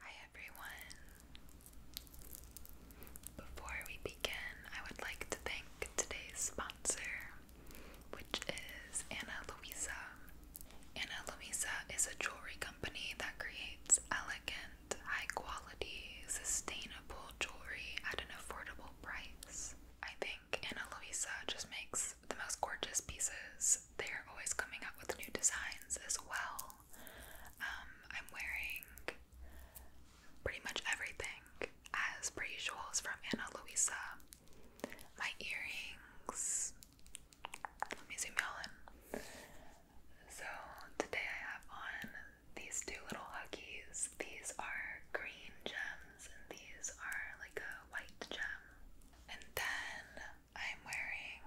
Hi everyone. Before we begin, I would like to thank today's sponsor, which is Anna Luisa. Anna Luisa is a jewelry company that creates elegant, high-quality, sustainable jewelry at an affordable price. I think Anna Luisa just makes the most gorgeous pieces. They are always coming up with new designs as well. Um, I'm wearing pretty much everything as per usual from Anna Luisa. My earrings. Let me zoom you in. So today I have on these two little huggies. These are green gems and these are like a white gem. And then I'm wearing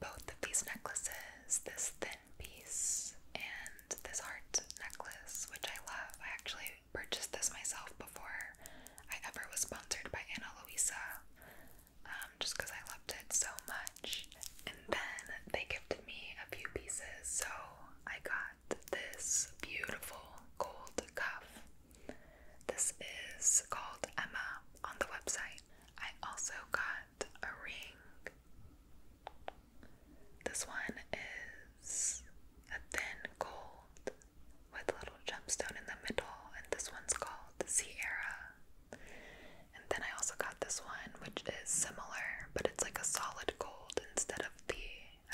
both of these necklaces this thin piece and this heart necklace, which I love. I actually purchased this myself before I ever was sponsored by Anna Luisa um, just because I loved it so much. And then they gifted me a few pieces, so I got this beautiful gold cuff this is called Emma on the website. I also got a ring. This one is a thin gold with a little gemstone in the middle, and this one's called Sierra. And then I also got this one, which is similar, but it's like a solid gold instead of the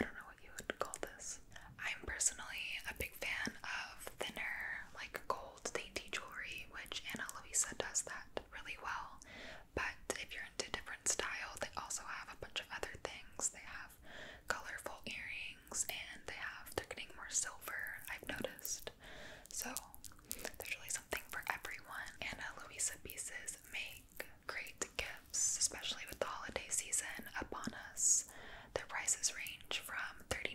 I don't know what you would call this I'm personally a big fan of thinner, like gold dainty jewelry, which Anna Luisa does that really well. But if you're into different style, they also have a bunch of other things. They have colorful earrings and they have they're getting more silver, I've noticed. So there's really something for everyone. Anna Luisa pieces make great gifts, especially with the holiday season upon us. Their prices range from $39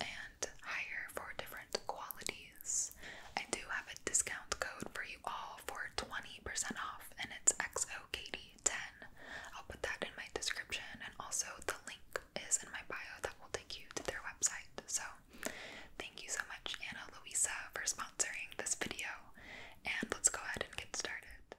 and higher for different qualities. I do have a discount code for you all for 20% off, and it's XOKD10. I'll put that in my description, and also the link is in my bio that will take you to their website. So, thank you so much, Anna Luisa, for sponsoring this video, and let's go ahead and get started.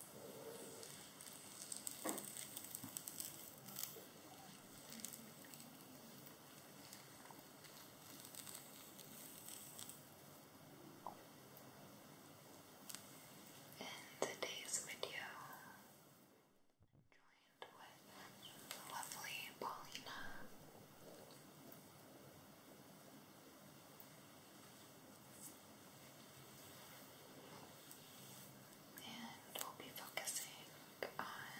In today's video, I'm joined with lovely Paulina. And we'll be focusing on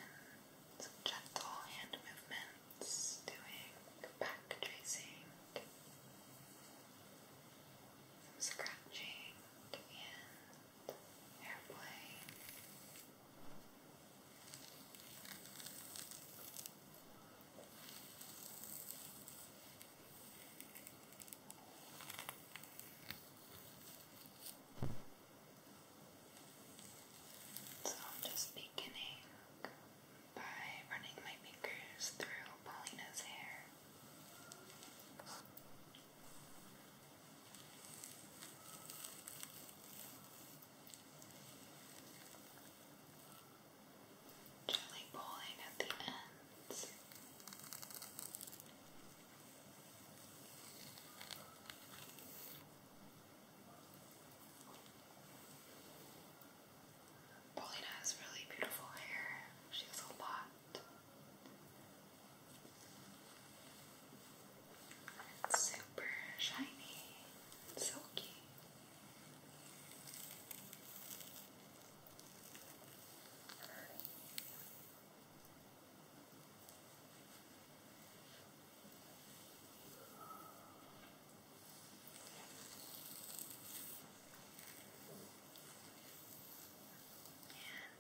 gentle hand movements, doing back tracing, scratching, and airplay. So I'm just beginning by running my fingers through Paulina's hair. Gently pulling at the end. Paulina has really beautiful hair. She has a lot. It's super shiny silky.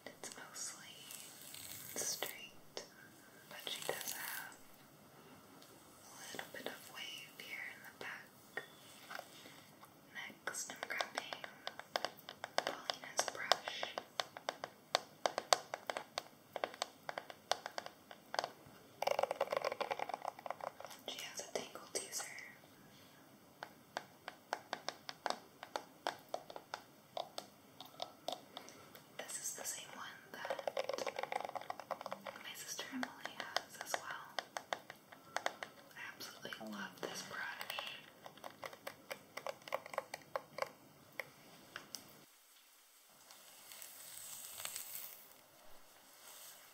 And it's mostly straight, but she does have a little bit of wave here in the back. Next, I'm Paulina's brush. She has a tangle teaser. This is the same one that my sister Emily has as well. I absolutely love this brush.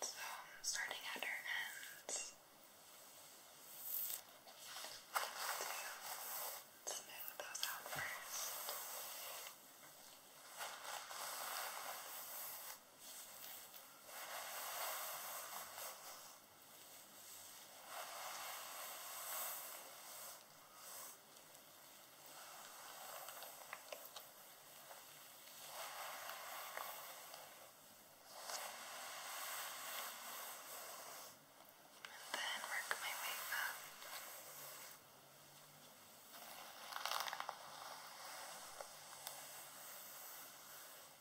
So, starting at her ends to smooth those out first. And then work my way up.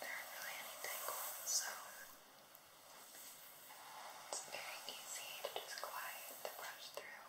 There aren't really any tangles, so it's very easy to just glide the brush through.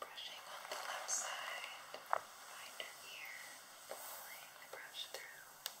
Brushing on the left side, minor ear, pulling the brush through. Brushing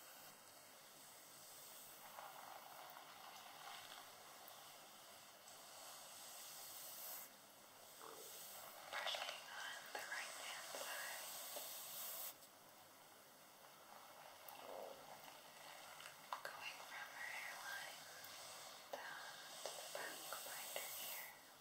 Brushing on the right hand side. Going from her hairline down to the back behind her ear.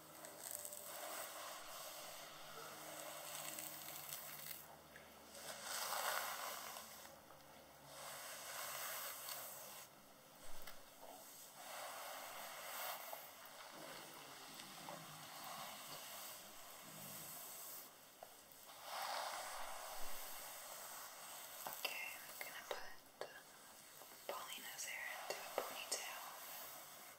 Okay, I'm gonna put Paulina's hair into a ponytail. I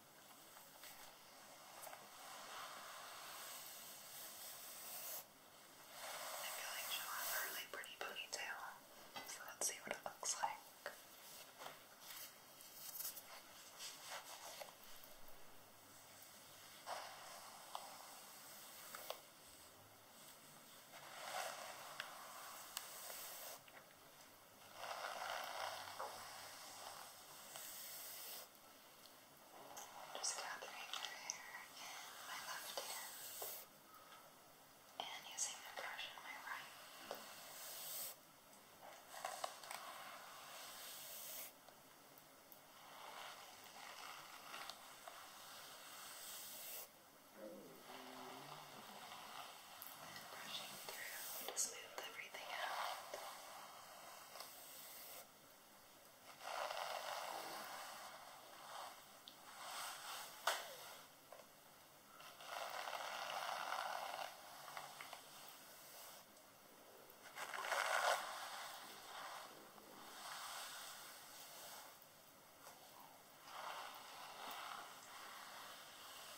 feel like she'll have a really pretty ponytail, so let's see what it looks like. I just gathering her hair in my left hand and using the brush in my right. Mm. And brushing through to smooth everything out. Just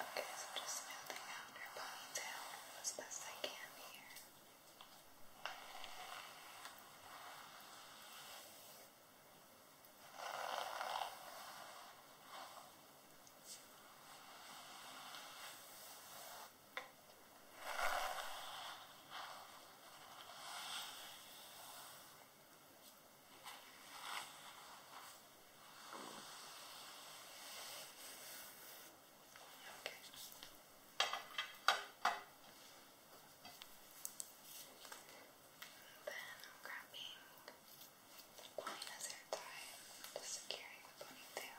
Okay, so just smoothing out her ponytail as best I can here. Okay, I'm grabbing quite another tie to securing the ponytail. Now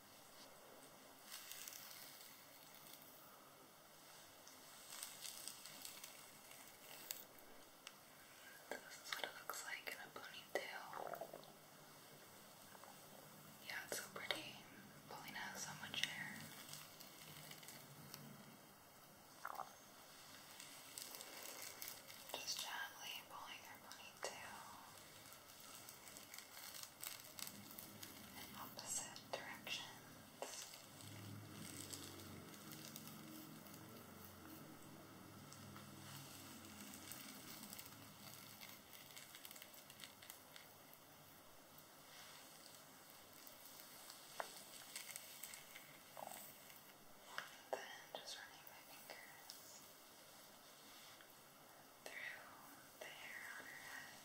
This is what it looks like in a ponytail. Yeah, it's so pretty. Paulina has so much hair. Just gently pulling her ponytail opposite directions. And then just running my fingers through the hair on her head.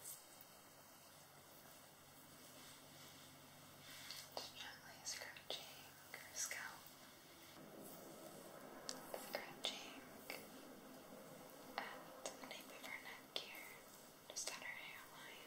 Just gently scratching her scalp, scratching at the nape of her neck here, just at her hairline.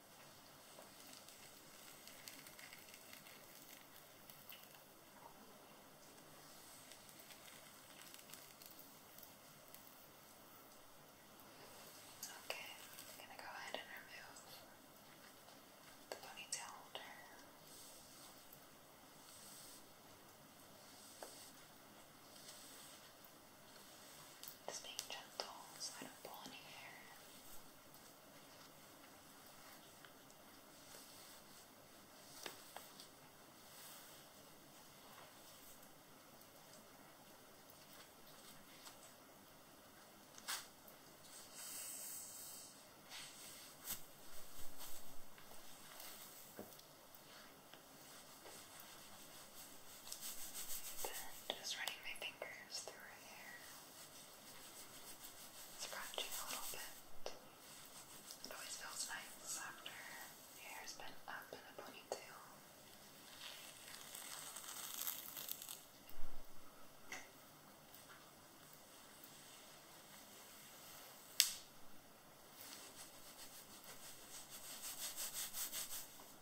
Okay, I'm going to go ahead and remove the ponytail holder. Just being gentle so I don't pull any hair. Then just running my fingers through her hair. Scratching a little bit. It always feels nice after your hair's been up in a ponytail.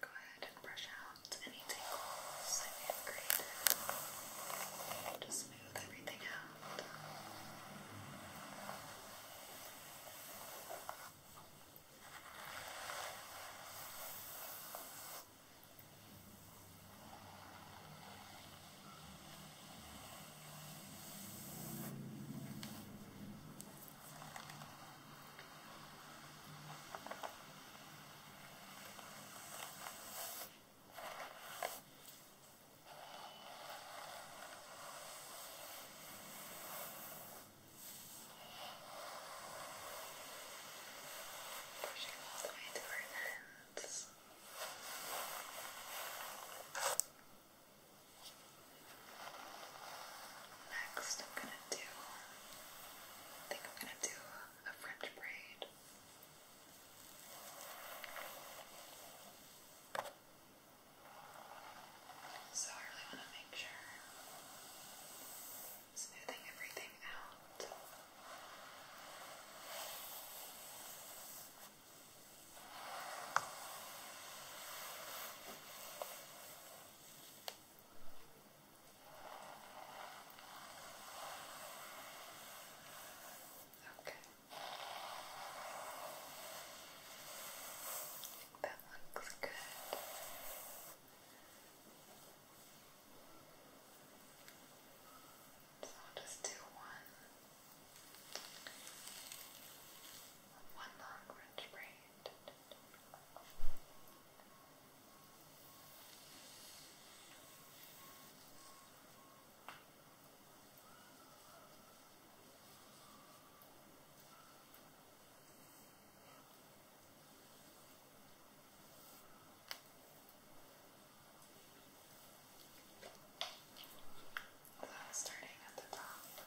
go ahead and brush out any tangles I may have created. Just smooth everything out. Pushing all the way to our hands. Just Next, I'm gonna do. I think I'm gonna do a French braid. So I really want to make sure smoothing everything out. Okay. I that looks good. So just do one, one long wrench braid. So starting at the top,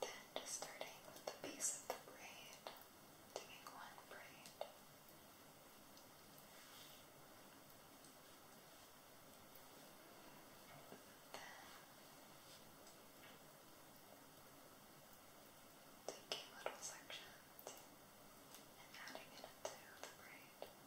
Then just starting with the base of the braid, taking one braid. Then taking little sections and adding it into the braid.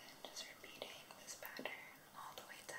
And just repeating this pattern all the way down.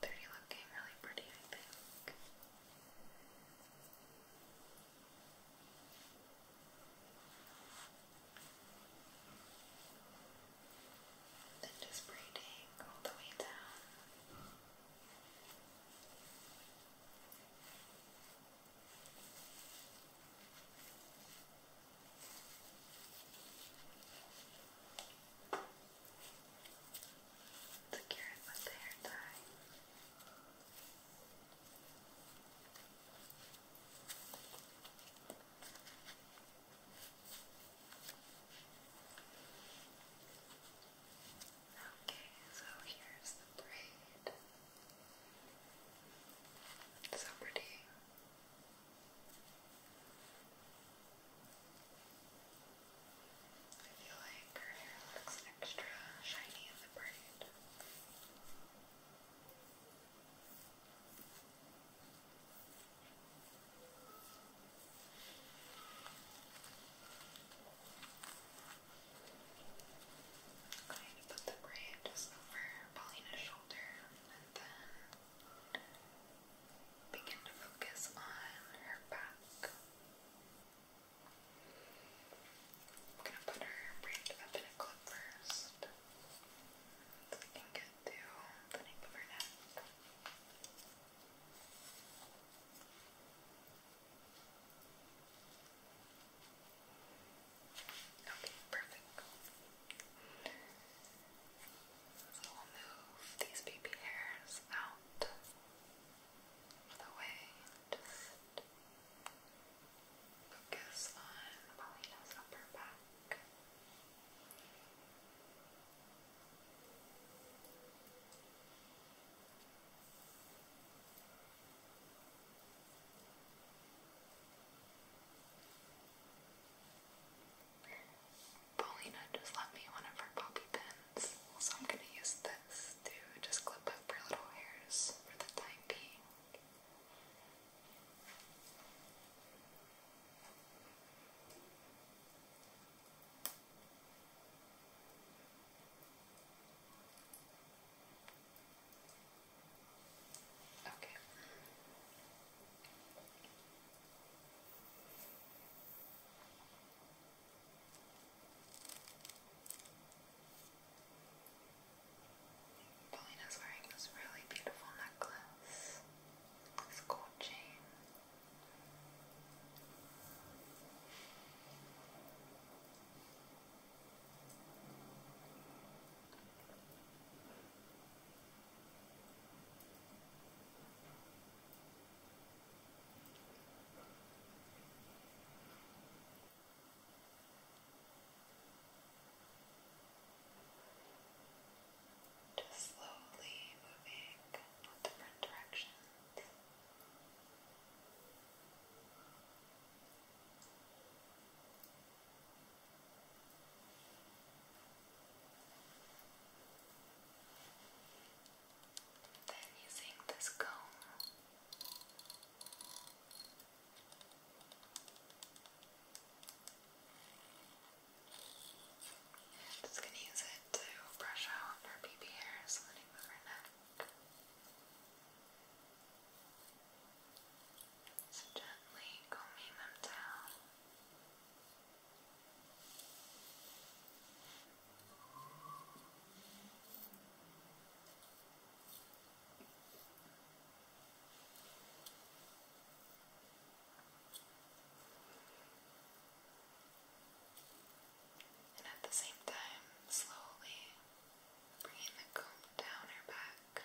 They're looking really pretty, I think. Then just braiding all the way down. Secure it hair tie. Okay, so here's the braid. so pretty. I feel like her hair looks extra shiny in the braid. I'm to put the braid just over Paulina's shoulder and then begin to focus on her back. I'm gonna put her braid up in first so we can get to the nape of her neck. Okay, perfect. So we'll move these baby hairs out of the way just focus on Molina's upper back. Paulina just left me one of her bobby pins, so I'm gonna use this to just clip up her little hairs for the time being. Okay. Paulina's wearing this really beautiful necklace. This gold just slowly moving in different directions. Just then using this comb. just going to use it to brush out her baby hairs, letting move her neck. So gently combing them down. And at the same time, slowly bringing the comb down her back.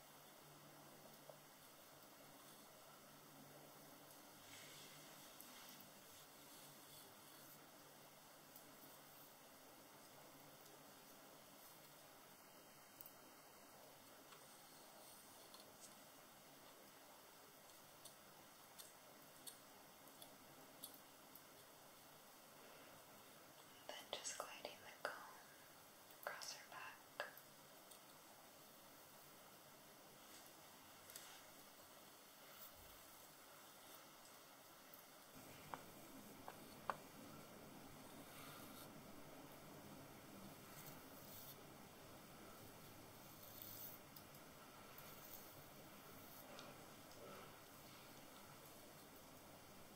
Then just gliding the comb across her back. Now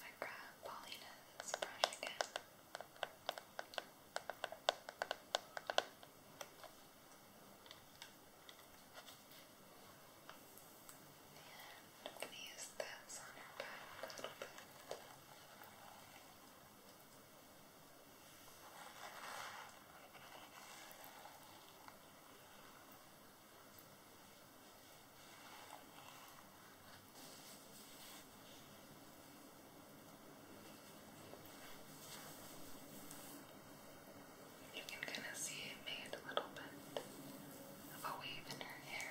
I grab Paulina's brush again. And I'm going to use this on her back a little bit. You can kind of see it made a little bit of a wave in her hair.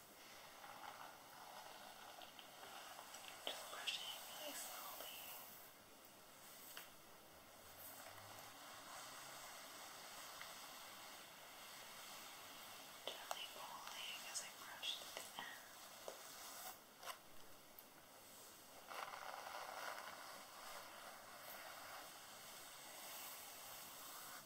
Just brushing really slowly. Gently pulling as I brush to the end.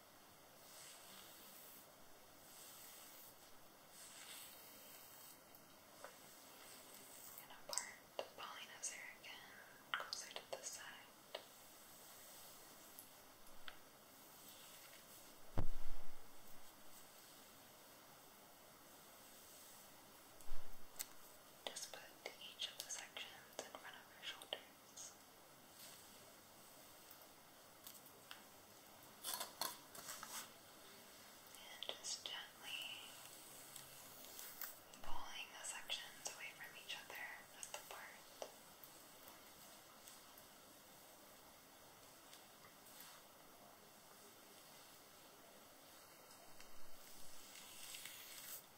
And apart the polynozer again, closer to side. Just put each of the sections in front of your shoulders. And just gently pulling the sections away from each other at the part. And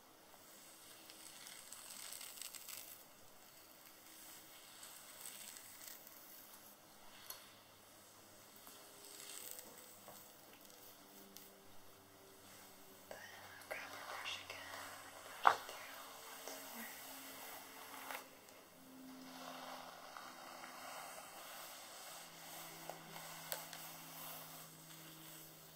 Then I'll grab your brush again and push through once more. Good.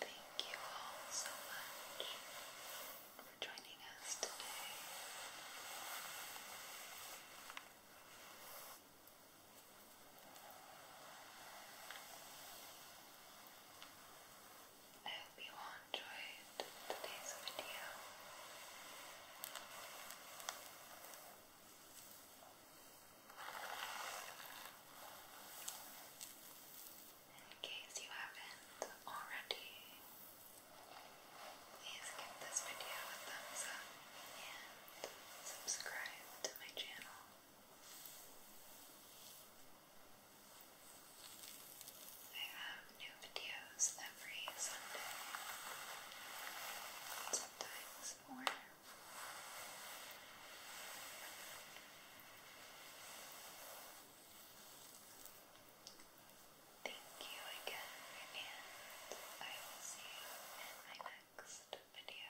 Thank you all so much for joining us today. I hope you all enjoyed today's video. In case you haven't already, please give this video a thumbs up and subscribe to my channel. I have new videos every Sunday, sometimes more. Thank you again, and I will see you in my next video.